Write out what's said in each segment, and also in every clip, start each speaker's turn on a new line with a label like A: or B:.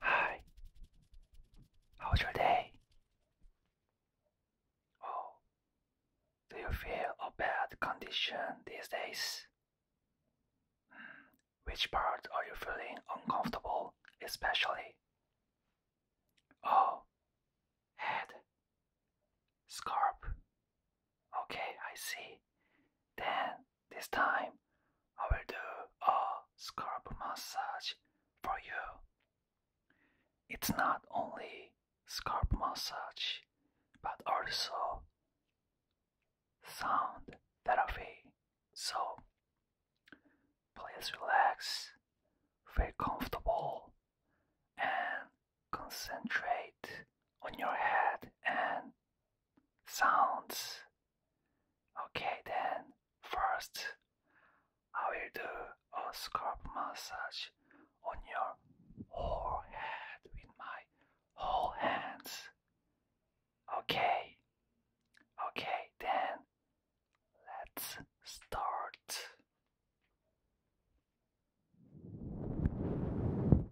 A: Hi. How was your day? Oh, do you feel a bad condition these days? Hmm, which part are you feeling
B: uncomfortable, especially? Oh, head,
A: scarp. Okay, I see. Then this time, I will do a scalp massage for you. It's not only scalp massage, but also sound therapy. So, please relax, feel comfortable, and concentrate on your head and sounds. Okay, then first I will do a scalp massage on your whole head with my whole hands. Okay, okay, then let's start.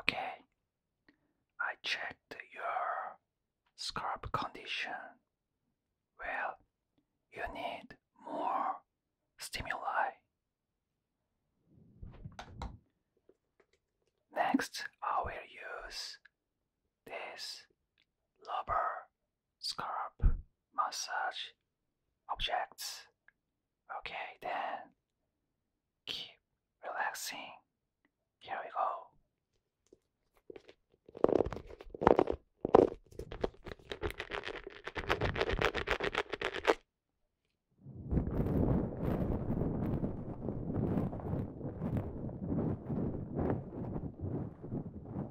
A: Okay, I checked your scalp condition. Well, you need more stimuli. Next, I will use this rubber scalp massage objects. Okay, then keep relaxing. Here we go.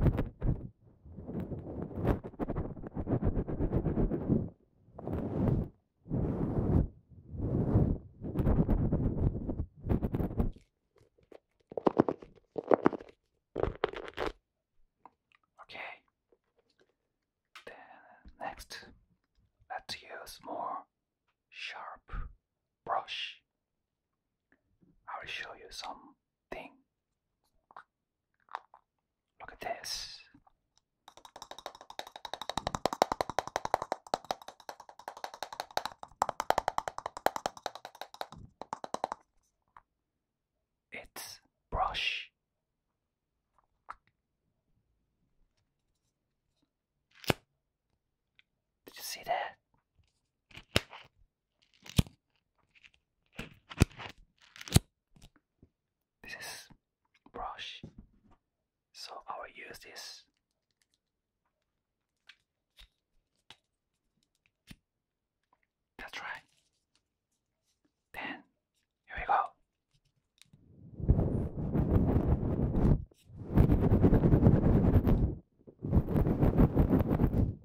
A: Okay. Then next, let's use more sharp brush. I will show you some thing. Look at this. It's brush. Did you see that? This is brush. So I use this. That's right. Then here we go.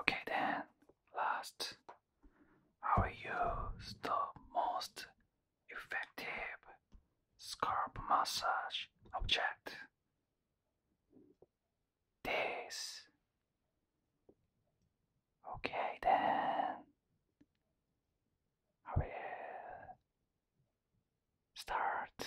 A: Okay then, last, I will use the most effective scalp massage object. This. Okay then, I will start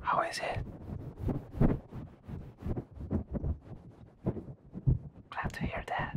A: How is it? Glad to hear that.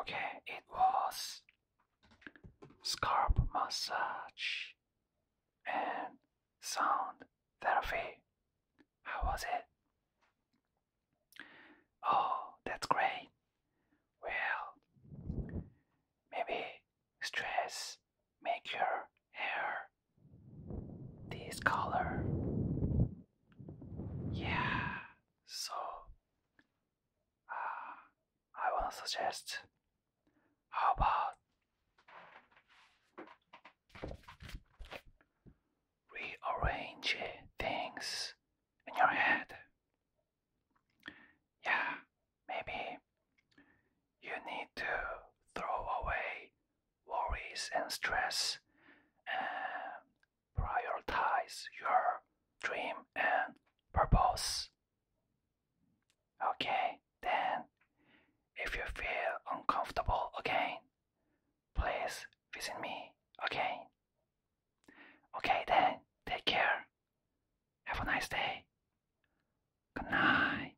A: Okay, it was scalp massage and sound therapy. How was it? Oh, that's great. Well, maybe stress make your hair this color. Yeah, so uh, I wanna suggest how about rearrange things in your head? Yeah, maybe you need to throw away worries and stress and prioritize your dream and purpose. Okay, then, if you feel uncomfortable again, please visit me again. Okay, then, take care. Have a nice day. Good night.